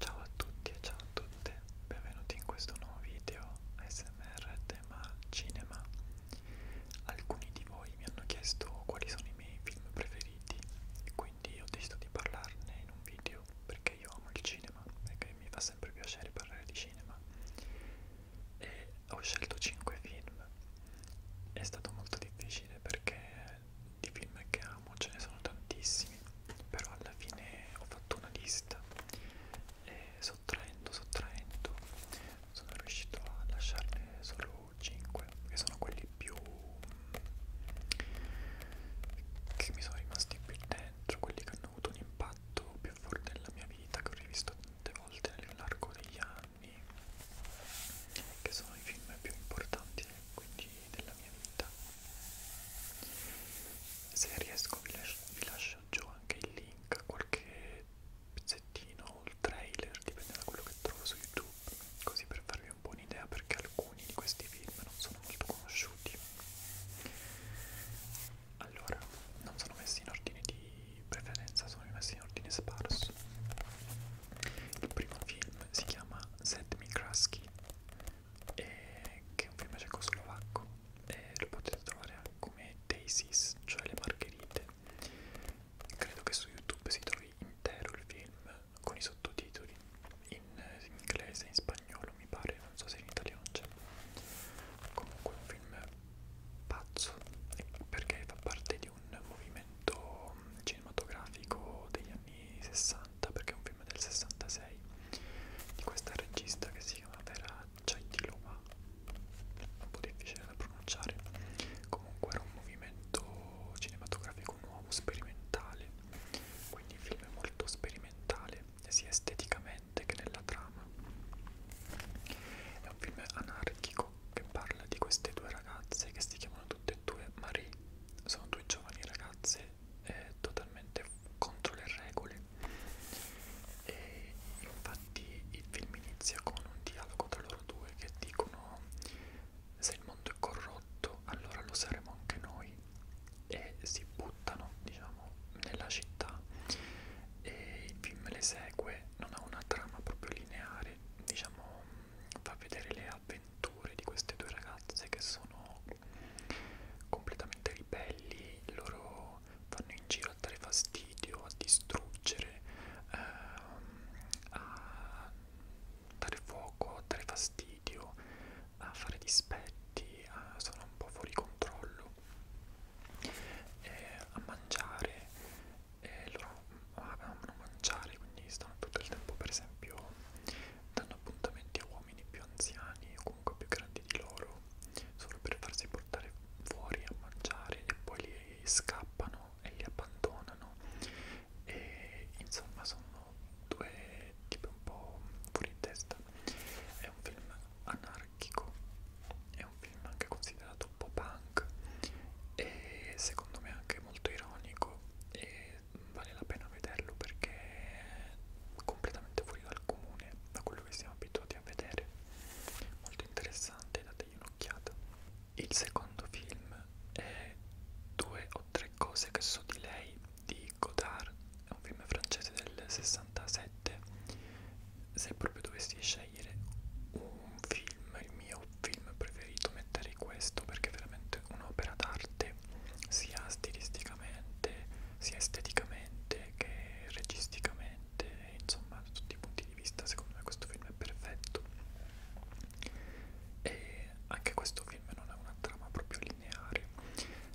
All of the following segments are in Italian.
Ciao a tutti e ciao a tutte, benvenuti in questo nuovo video ASMR tema cinema. Alcuni di voi mi hanno chiesto quali sono i miei film preferiti, quindi ho deciso di parlarne in un video perché io amo il cinema, perché mi fa sempre piacere parlare di cinema. E ho scelto 5 film. È stato molto difficile perché di film che amo ce ne sono tantissimi però alla fine ho fatto una lista e sottraendo sottraendo sono riuscito a lasciarne solo 5 che sono quelli più che mi sono rimasti più dentro quelli che hanno avuto un impatto più forte nella mia vita che ho rivisto tante volte nell'arco degli anni che sono i film più importanti quindi della mia vita se riesco vi lascio, vi lascio giù anche il link a qualche pezzettino o il trailer dipende da quello che trovo su youtube così per farvi un po' un'idea perché alcuni di questi film non sono molto conosciuti allora non sono messi in ordine di preferenza sono messi in ordine sparso il primo film si chiama Sedmi Kraski e che è un film cecoslovacco e lo potete trovare come Daisies, cioè le margherite credo che su YouTube si trovi intero il film con i sottotitoli in, in inglese, in spagnolo mi pare, non so se in italiano c'è comunque un film pazzo perché fa parte di di un movimento cinematografico degli anni 60 perché è un film del 66 di questa regista che si chiama Vera Chaitiloma un po' difficile da pronunciare comunque era un movimento cinematografico nuovo, sperimentale quindi il film è molto sperimentale sia esteticamente che nella trama è un film anarchico romantico che parla di queste due ragazze che si chiamano tutte e due Marie, sono due giovani ragazze eh, totalmente contro le regole e infatti il film inizia con un dialogo tra loro due che dicono se il mondo è corrotto allora lo saremo anche noi e si buttano diciamo nella città e il film le segue non ha una trama proprio lineare diciamo fa vedere le avventure di queste due ragazze che sono completamente ribelli, loro vanno in giro a dare fastidio, a distruggere, ehm, a dare fuoco, a dare fastidio, a fare dispetti, a, sono un po' fuori controllo, eh, a mangiare e loro amano mangiare, quindi stanno tutto il tempo, per esempio, danno appuntamenti a uomini più anziani o comunque più grandi di loro, solo per farsi portare fuori a mangiare e poi li scappano e li abbandonano. E insomma sono due tipi un po' fuori di testa. È un film anarchico, è un film anche così considerato un po' punk e secondo me anche molto ironico e vale la pena vederlo perché è completamente fuori dal comune da quello che siamo abituati a vedere molto interessante dategli un'occhiata il secondo film è due o tre cose che so di lei di Godard è un film francese del 67 se proprio dovessi scegliere scegliere un film, il mio film preferito metterei questo perché è veramente un'opera d'arte sia stilisticamente, sia esteticamente che registicamente, insomma da tutti i punti di vista secondo me questo film è perfetto e anche questo film non ha una trama proprio lineare,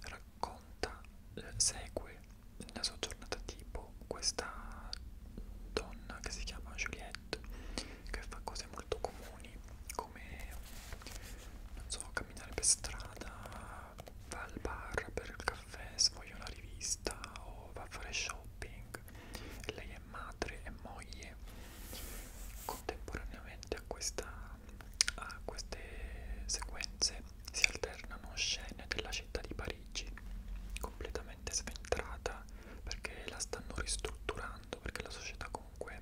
racconta, eh, segue la sua giornata tipo questa donna che si chiama Juliette che fa cose molto comuni come non so camminare per strada va al bar per il caffè sfoglia una rivista o va a fare shopping e lei è madre e moglie contemporaneamente a, questa, a queste sequenze si alternano scene della città di Parigi completamente veramente sventrata perché la stanno ristrutturando perché la società comunque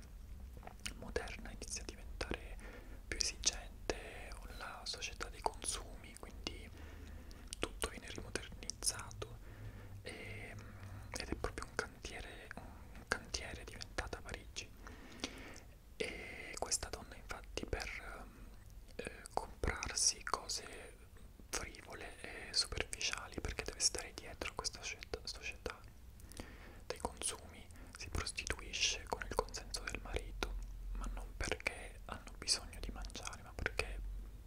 moderna inizia a diventare più esigente la società dei consumi quindi tutto viene rimodernizzato e, ed è proprio un cantiere un cantiere diventata Parigi e questa donna infatti per eh, comprarsi cose frivole e superficiali perché deve stare dietro a questa società dei consumi, si prostituisce con il consenso del marito, ma non perché hanno bisogno di mangiare, ma perché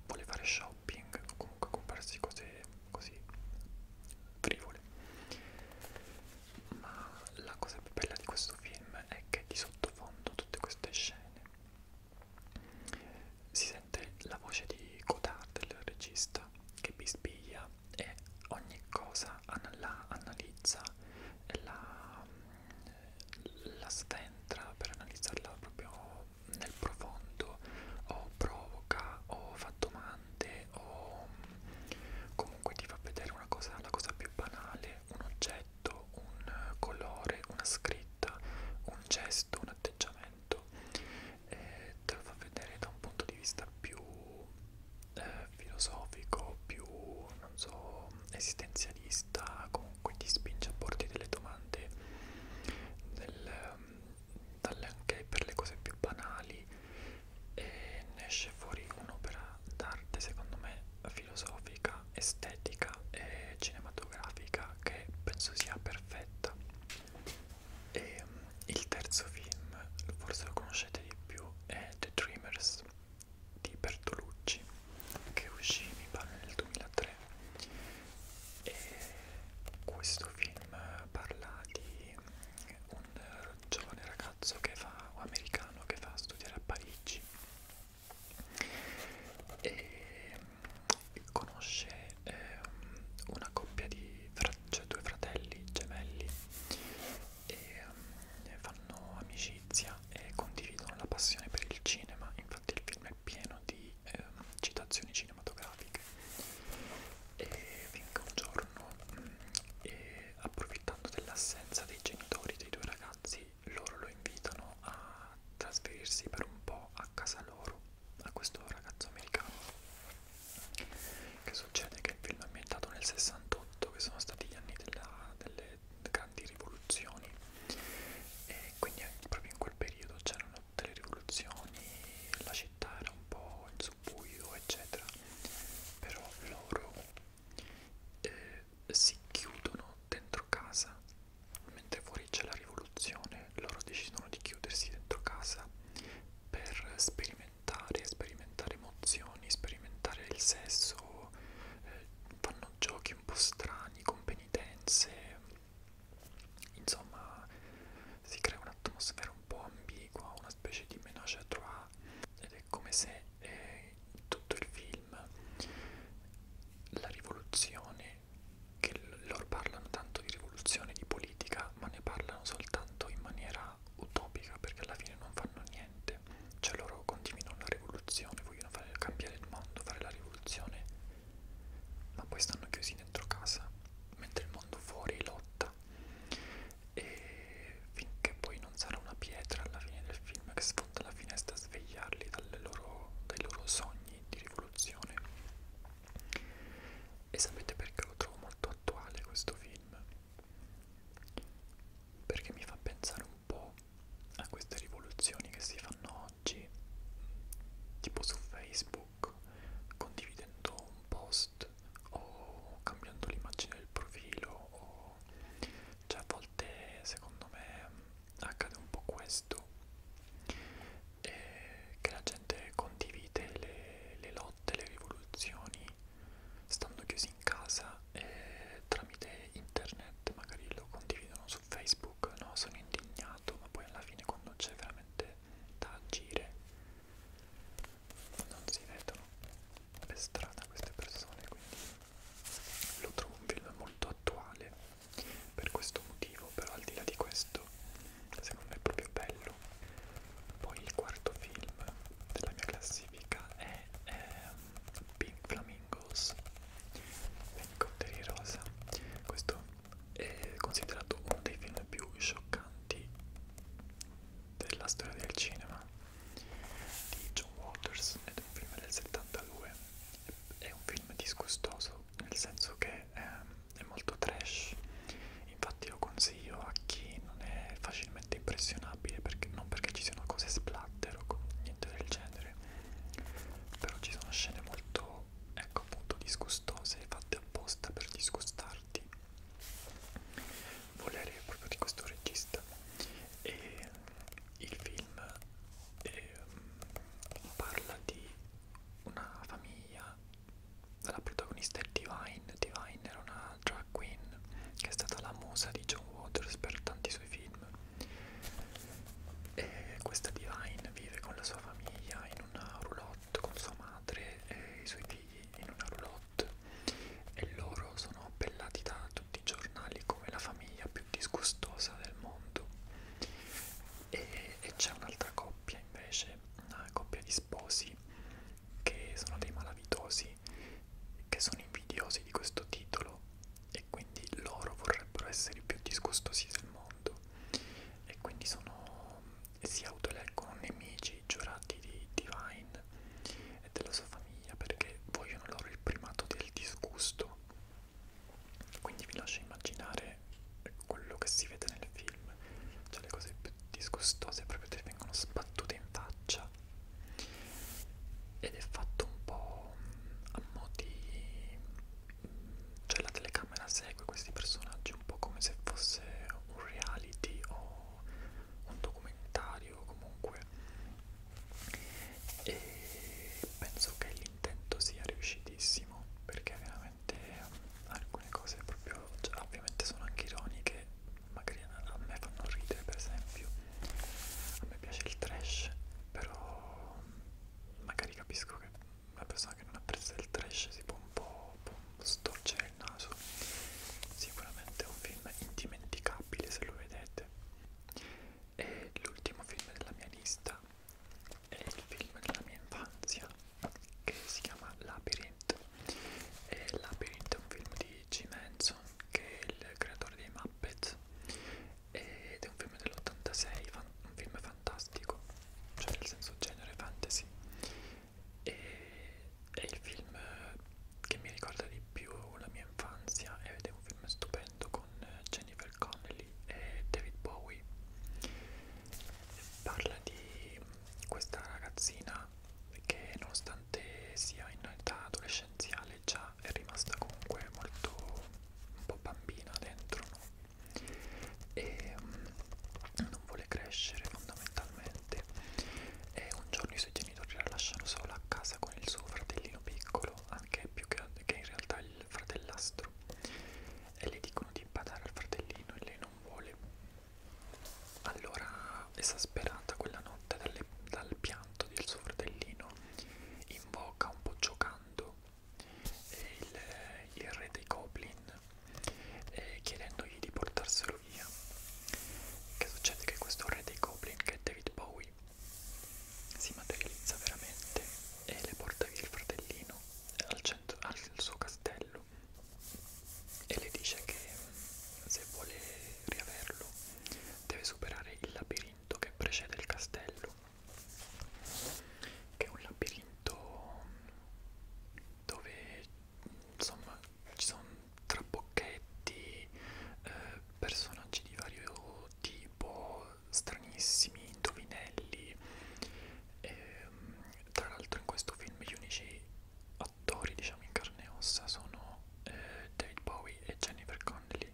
vuole fare shopping o comunque comprarsi cose così frivole. Ma la cosa più bella di questo film è che di sottofondo tutte queste scene si sente la voce di Godard, il regista, che bisbiglia e ogni cosa la analizza, la, la sventra per analizzarla proprio nel profondo, o provoca, o fa domande, o comunque ti fa vedere una cosa, la cosa più banale, un oggetto oggetto, un colore, una scritta, un gesto, un atteggiamento e eh, te lo fa vedere da un punto di vista più eh, filosofico, più non so, esistenzialista, comunque ti spinge a porti delle domande nel, dalle anche per le cose più banali e ne esce fuori un'opera d'arte secondo me filosofica, estetica e cinematografica che penso sia perfetta. E um, il terzo film, forse lo conoscete di più, è The Dreamers di Bertolucci che uscì mi pare nel 2003 e questo film parla di mm, un giovane ragazzo che fa, americano che va a studiare a Parigi e ehm, conosce eh, una coppia di cioè due fratelli gemelli e eh, fanno amicizia e condividono la passione per il cinema infatti il film è pieno di eh, citazioni cinematografiche e finché un giorno mh, mm, e approfittando dell'assenza dei genitori dei due ragazzi poi loro lo invitano a trasferirsi per un po' a casa loro, a questo ragazzo americano. Che succede? Che il film è ambientato nel 68, che sono stati gli anni della, delle grandi rivoluzioni, e quindi proprio in quel periodo c'erano tutte le rivoluzioni, la città era un po' in subbuio, eccetera. Però loro eh, si chiudono dentro casa mentre fuori c'è la rivoluzione loro decidono di chiudersi dentro casa per sperimentare sperimentare emozioni sperimentare il sesso eh, fanno giochi un po' strani con penitenze insomma si crea un'atmosfera un po' ambigua una specie di menage à trois ed è come se eh, tutto il film, la rivoluzione, che loro parlano tanto di rivoluzione, di politica, ma ne parlano soltanto in maniera utopica perché alla fine non fanno niente, cioè loro continuano la rivoluzione, vogliono fare, cambiare il mondo, fare la rivoluzione, ma poi stanno chiusi dentro casa, mentre il mondo fuori lotta e finché poi non sarà una pietra alla fine del film che sfonda la finestra a svegliarli loro, dai loro sogni di rivoluzione e sapete perché lo trovo molto attuale questo film? perché mi fa pensare un po' a queste rivoluzioni che si fanno oggi tipo su Facebook condividendo un post o cambiando l'immagine del profilo o po'... cioè a volte secondo me accade un po' questo e eh, che la gente condivide le, le lotte, le rivoluzioni stando chiusi in casa e tramite internet magari lo condividono su Facebook, no sono indignato ma poi alla fine quando c'è veramente da agire non si vedono per strada queste persone quindi lo trovo un film molto attuale per questo motivo però al di là di questo secondo me è proprio bello poi il quarto film della mia classifica è ehm, Pink Flamingos Elicotteri Rosa questo è considerato uno dei film più scioccanti della storia del cinema di John Waters ed è un film del 72 è un film disgustoso nel senso che è, ehm, è molto trash infatti lo consiglio a chi non è facilmente impressionabile perché, non perché ci siano cose splatter o niente del genere però ci sono scene molto ecco appunto disgustose fatte apposta per disgustarti volere proprio di questo regista e il film eh, parla di una famiglia la protagonista è Divine Divine era una drag queen che è stata la musa di John Waters per tanti suoi film e questa Divine vive con la sua famiglia in una roulotte con sua madre e i suoi figli in una roulotte Hollywood e loro sono appellati da tutti i giornali come la famiglia più disgustosa del mondo e, e c'è un'altra coppia invece, una coppia di sposi che sono dei malavitosi che sono invidiosi di questo titolo e quindi loro vorrebbero essere i più disgustosi del mondo e quindi sono si autoeleggono nemici giurati di Divine e della sua famiglia perché vogliono loro il primato del disgusto. Quindi vi lascio immaginare quello che si vede nel film, cioè le cose più disgustose proprio ti vengono sbattute in faccia ed è fatto un po' a mo' di... cioè la telecamera segue questi personaggi un po' come se fosse un reality o un documentario comunque e penso che l'intento sia riuscitissimo perché veramente alcune cose proprio cioè, ovviamente sono anche ironiche magari a me fanno ridere per esempio a me piace il trash però magari capisco che una persona che non apprezza il trash si può un po', può storcere il naso sicuramente è un film indimenticabile se lo vedete e l'ultimo film della mia lista è il film della mia infanzia che si chiama Labyrinth e Labyrinth è un film di Jim Henson che è il creatore dei Muppets ed è un film dell'86 un film fantastico cioè nel senso genere fantasy e è il film che mi ricorda di più la mia infanzia ed è un film stupendo con Jennifer Connelly e David Bowie parla di questa ragazzina che nonostante sia in età adolescenziale già è rimasta comunque molto un po' bambina dentro no? e um, non vuole crescere fondamentalmente e un giorno i suoi genitori la lasciano sola a casa con il suo fratellino piccolo anche più grande che in realtà il fratellastro e le dicono di badare al fratellino e lei non vuole allora esasperata quella notte dalle, dal pianto del suo fratellino invoca un po' giocando e il, il re dei goblin eh, chiedendogli di portarselo via. Che succede? Che questo re dei goblin, che è David Bowie, si materializza veramente e le porta via il fratellino al, centro, al suo castello e le dice che mm, se vuole riaverlo deve superare il labirinto che precede il castello che è un labirinto dove insomma ci sono trabocchetti, eh, personaggi di vario tipo, stranissimi, indovinelli. E, ehm, tra l'altro in questo film gli unici attori diciamo in carne e ossa sono eh, David Bowie e Jennifer Connelly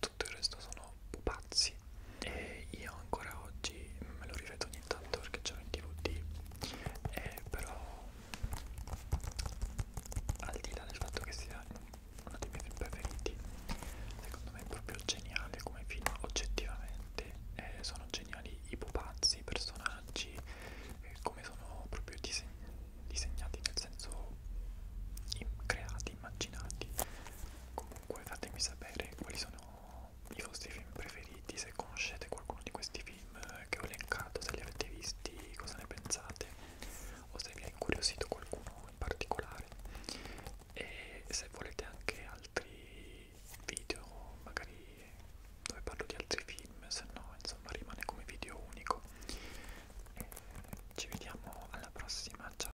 tutto il resto sono sono pupazzi e io ancora oggi me lo rivedo ogni tanto perché c'ero in DVD e eh, però al di là del fatto che sia uno dei miei film preferiti secondo me è proprio geniale come film oggettivamente eh, sono geniali i pupazzi, i personaggi eh, come sono proprio diseg disegnati nel senso creati, immaginati comunque fatemi sapere quali sono sono i vostri film preferiti, se conoscete qualcuno di questi film che ho elencato, se li avete visti, cosa ne pensate o se vi ha incuriosito qualcuno in particolare e se volete anche altri video, magari dove parlo di altri film, se no insomma rimane come video unico. E ci vediamo alla prossima, ciao!